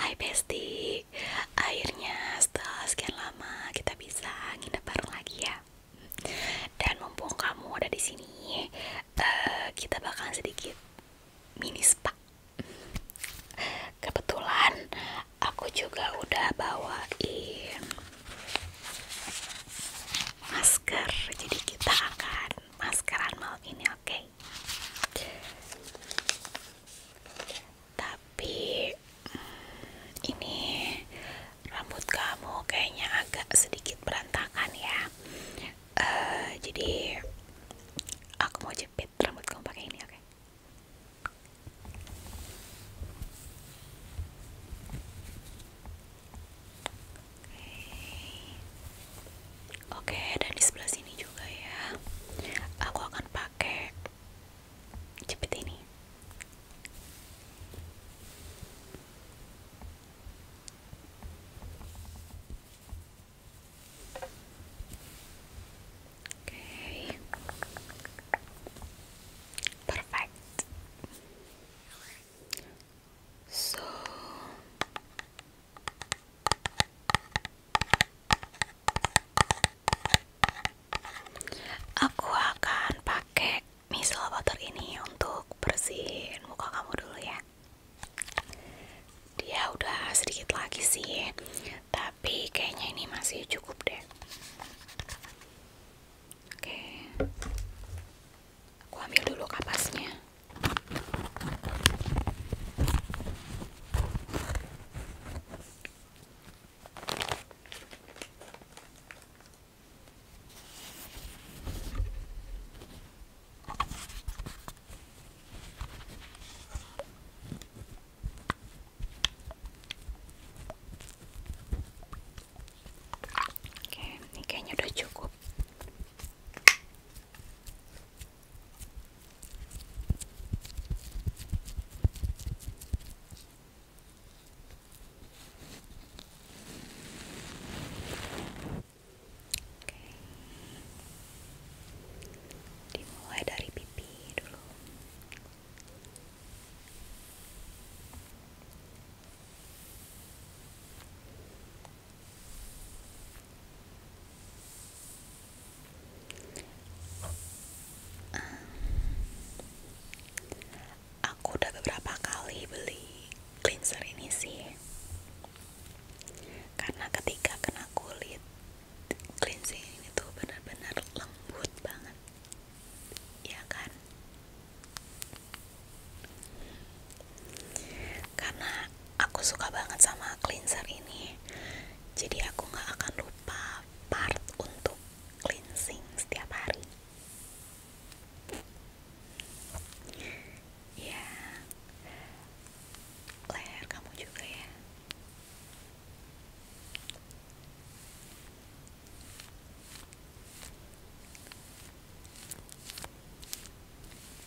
Hai Bestie, akhirnya setelah sekian lama kita bisa nginep bareng lagi ya. Dan mumpung kamu ada di sini, eh, kita bakal sedikit mini spa. Kebetulan aku juga udah bawain masker, jadi kita akan maskeran malam ini, oke? tapi ini rambut kamu kayaknya agak sedikit berantakan ya eh, jadi aku mau jepit rambut kamu pakai ini oke Oke, dan di sebelah sini juga ya. Aku akan pakai jepit ini. Oke. Perfect. So Aku akan pakai micellar water ini untuk bersihin muka kamu dulu ya. Dia udah sedikit lagi sih, tapi kayaknya ini masih cukup deh. Oke. Aku ambil dulu kapasnya. Oke, ini kayaknya udah cukup dimulai dari pipi dulu Aku udah beberapa kali beli cleanser ini sih, karena ketika kena kulit, cleansing ini tuh benar-benar lembut banget, ya kan? karena aku suka banget sama cleanser ini jadi aku nggak akan lupa part untuk cleansing setiap hari ya leher kamu juga ya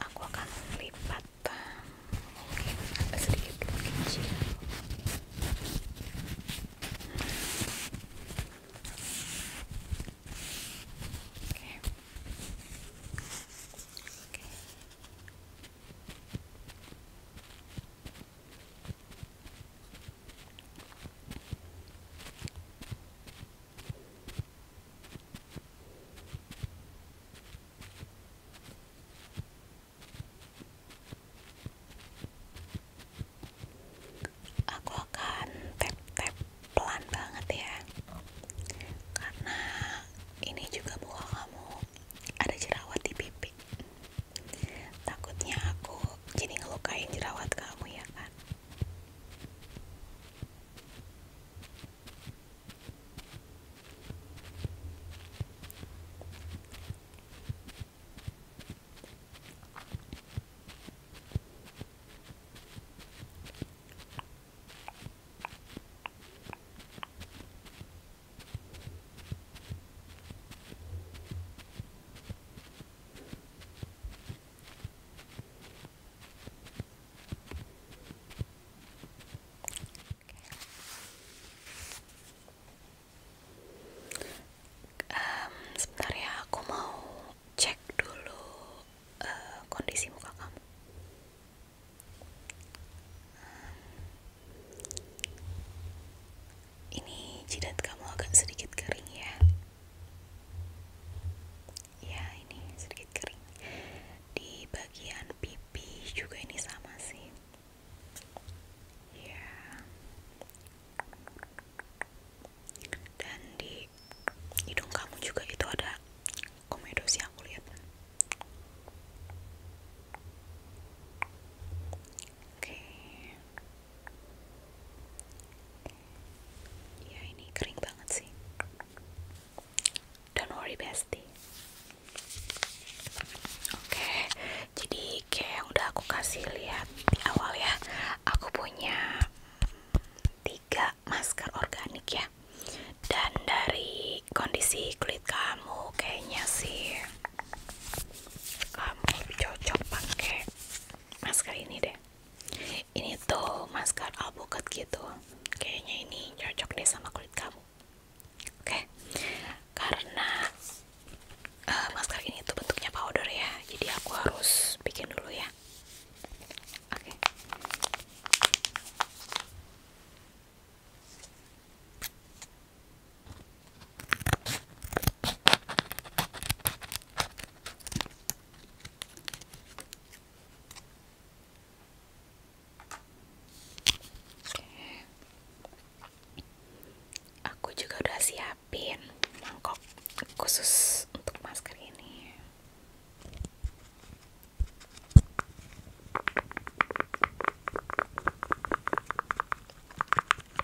aku akan melipat eh, mungkin agak sedikit lebih kecil Aku akan tap-tap pelan banget ya, karena ini juga buka kamu ada jerawat di pipi. Takutnya aku jadi ngelukain jerawat kamu ya kan? Um, sebentar ya, aku mau cek dulu eh, kondisi muka kamu ini jidat kamu agak sedikit kering ya ya ini sedikit kering di bagian pipi juga ini sama sih ya. dan di hidung kamu juga itu ada komedo sih aku lihat ya ini kering banget sih don't worry bestie oke jadi kayak udah aku kasih lihat di awal ya aku punya tiga masker organik ya dan dari kondisi kulit kamu kayaknya sih kamu cocok pakai masker ini deh ini tuh masker alpukat gitu kayaknya ini cocok deh sama kulit kamu oke karena eh, masker ini tuh bentuknya powder ya jadi aku harus bikin dulu ya oke Aku juga udah siapin mangkok khusus untuk masker ini.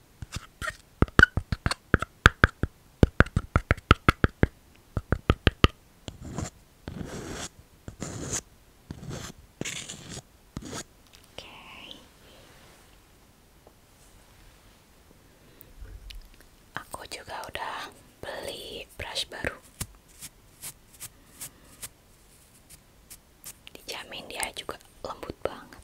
Okay. Aku juga udah beli brush baru. Dijamin dia juga lembut banget.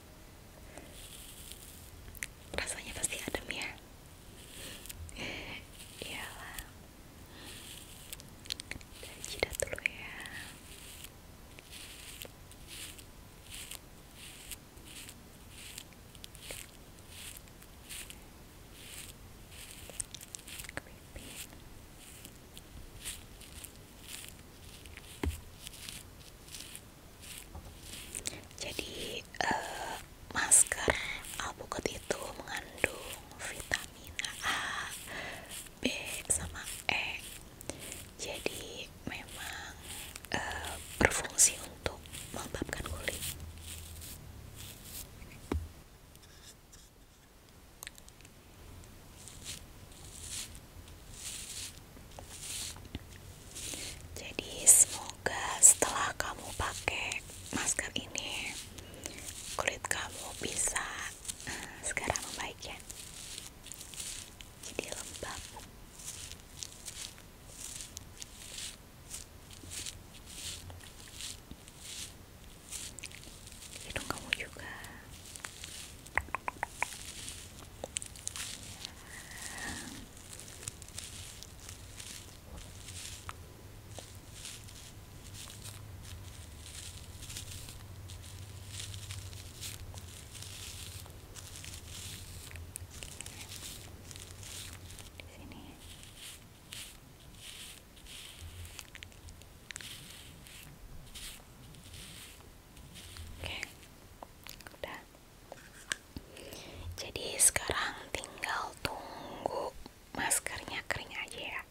rasanya pasti adem ya iyalah dan jidat ya jadi eh, masker alpukat itu mengandung vitamin A, B sama E. Jadi memang eh, berfungsi untuk melembabkan kulit. Jadi semoga setelah kamu pakai masker ini kulit kamu bisa eh, segera membaik ya. Jadi lembab. Hidung kamu juga di sini oke udah jadi sekarang tinggal tunggu maskernya kering aja ya.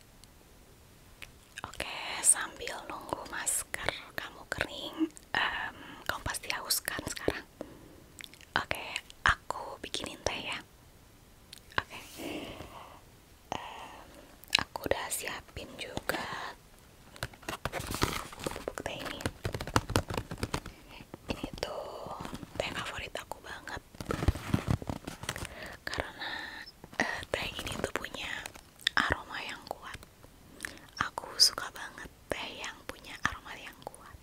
Oke, sambil nunggu masker kamu kering, kamu pasti haus kan sekarang. Oke, aku bikinin teh ya. Oke, aku udah siapin juga bubuk ini ini tuh teh favorit aku banget karena eh, teh ini tuh punya aroma yang kuat aku suka banget teh yang punya aroma yang kuat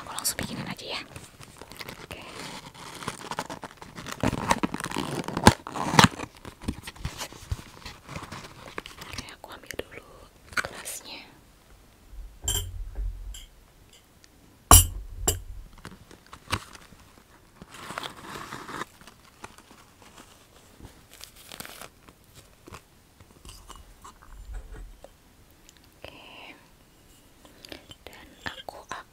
aku langsung bikinin aja ya aku ambil dulu gelasnya. Oke. Dan aku akan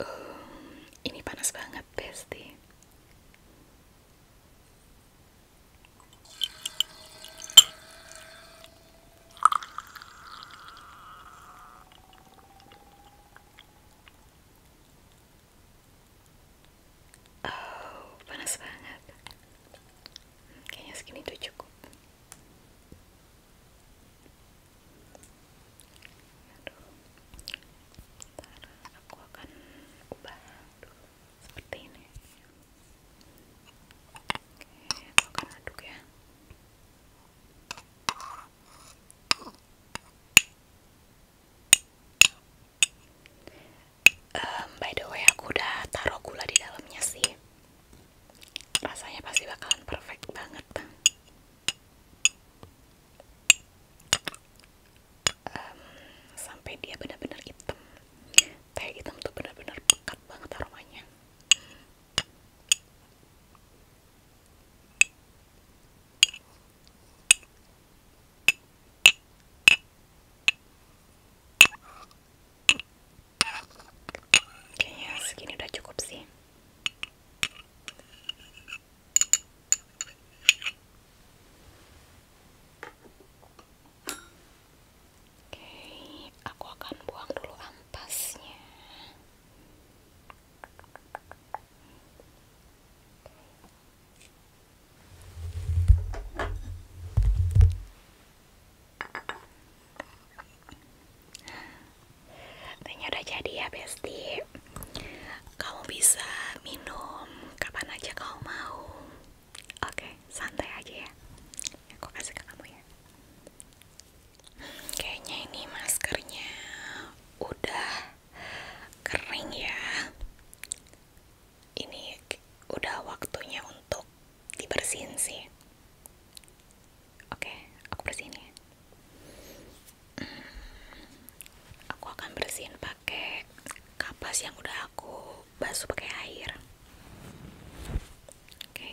Eh, ini panas banget, bestie. Oh, panas banget. Kayaknya segini tuh cukup aku akan ubah seperti ini. aku akan aduk ya. by the way, aku udah taruh gula di dalamnya sih rasanya pasti bakalan perfect banget um, sampai dia benar-benar hitam teh hitam tuh benar-benar pekat banget aromanya Kayaknya segini udah cukup sih. Oke, aku akan buang dulu ampasnya. Tehnya udah jadi ya bestie, Kamu bisa minum kapan aja kamu mau Oke santai aja ya Aku kasih ke kamu ya Kayaknya ini maskernya udah kering ya Ini udah waktunya untuk dibersihin sih oke aku bersihin ya hmm, aku akan bersihin pakai kapas yang udah aku basuh pakai air oke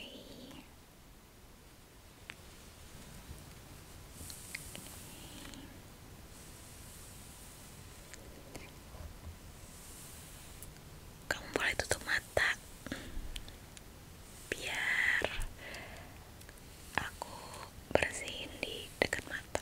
kamu boleh tutup mata biar aku bersihin di dekat mata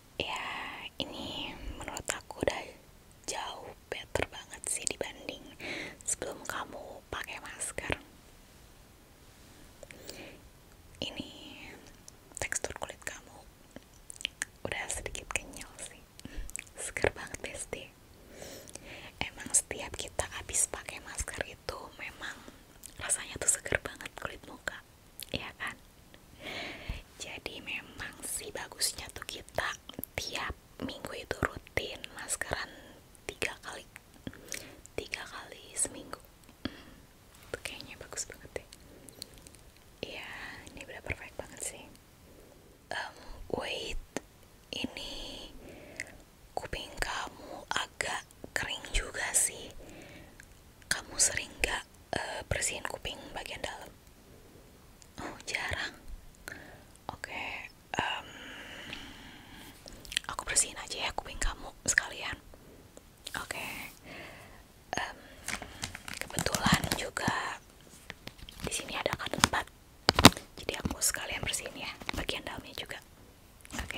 ya ini menurut aku udah jauh better banget sih dibanding sebelum kamu pakai masker ini tekstur kulit kamu udah sedikit kenyal sih seger banget besti emang setiap kita habis pakai masker itu memang rasanya tuh seger banget kulit muka ya kan jadi memang sih bagusnya tuh kita tiap minggu itu rutin maskeran tiga kali tiga kali seminggu. tuh kayaknya bagus banget ya Iya, ini udah perfect banget sih. wait, ini kuping kamu agak kering juga sih. Kamu sering gak Eh, bersihin kuping bagian dalam? Oh jarang. Oke, aku bersihin aja ya kuping kamu sekalian. Oke, kebetulan juga di sini ada kartu tempat, jadi aku sekalian bersihin ya bagian dalamnya juga. Oke,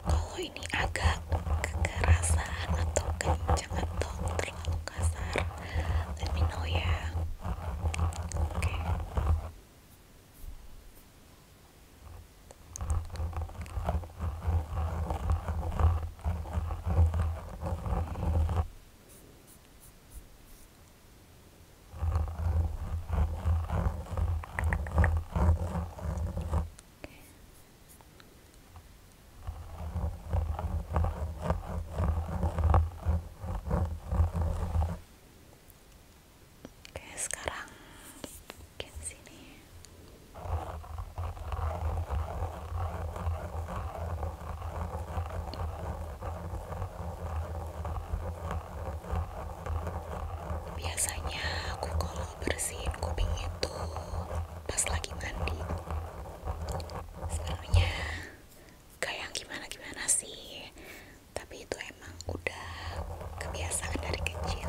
kalau ini agak kekerasan atau kencang atau terlalu kasar let me know ya Oke, sekarang kesini Biasanya aku kalau bersihin kuping itu pas lagi mandi. Sebenarnya kayak gimana-gimana sih, tapi itu emang udah kebiasaan dari kecil.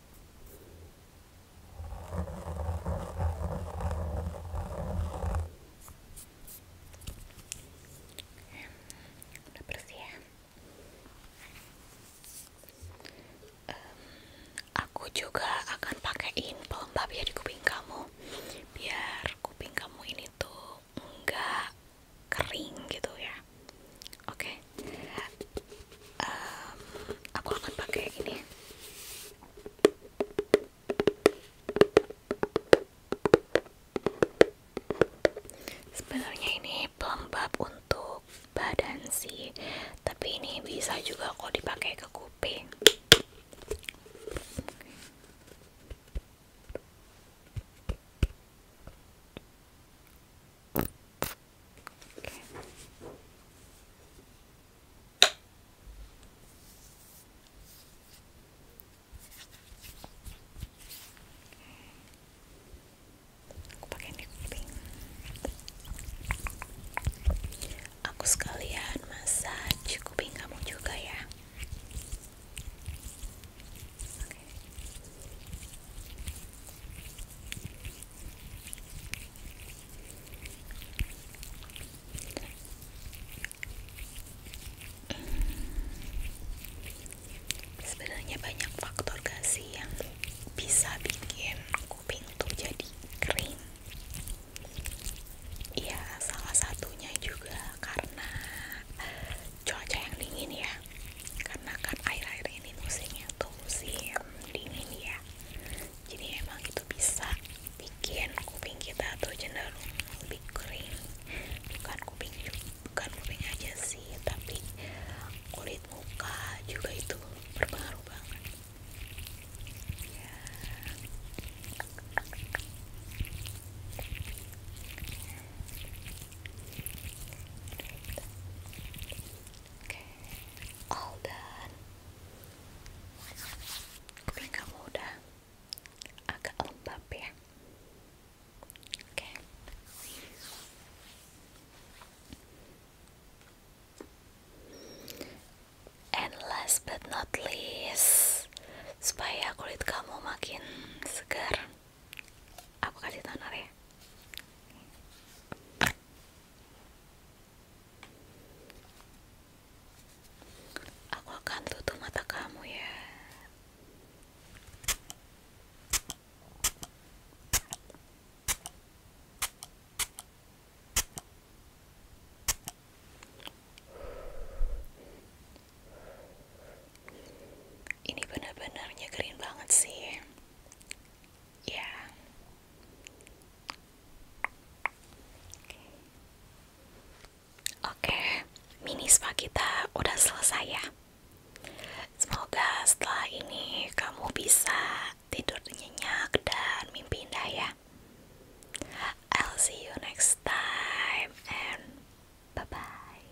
bersih ya aku juga akan pakaiin pelembab ya di kuping kamu biar kuping kamu ini tuh enggak kering gitu ya oke aku akan pakai ini Sebenarnya ini pelembab untuk badan sih, tapi ini bisa juga kok dipakai ke kuping. Aku pakai kuping. Aku sekalian massage kuping kamu juga ya. Sebenarnya banyak faktor gak sih yang bisa bikin kuping tuh jadi kering. Ya salah satunya juga karena eh, cuaca yang dingin ya. Karena kan air-air ini musimnya tuh musim dingin ya jadi emang itu bisa bikin kuping kita tuh cenderung lebih kering bukan kuping bukan kuping aja sih tapi kulit muka juga itu berpengaruh banget ya. okay. all done. Kulit kamu udah agak lembab ya. Oke. Okay. And last but not least, supaya kulit kamu makin segar, aku kasih toner ya. Aku akan tutup mata kamu ya. Ini benar benarnya keren banget sih. Ya. Oke, mini spa kita udah selesai ya. Semoga setelah ini kamu bisa tidur nyenyak dan mimpi indah ya. I'll see you next time and bye bye.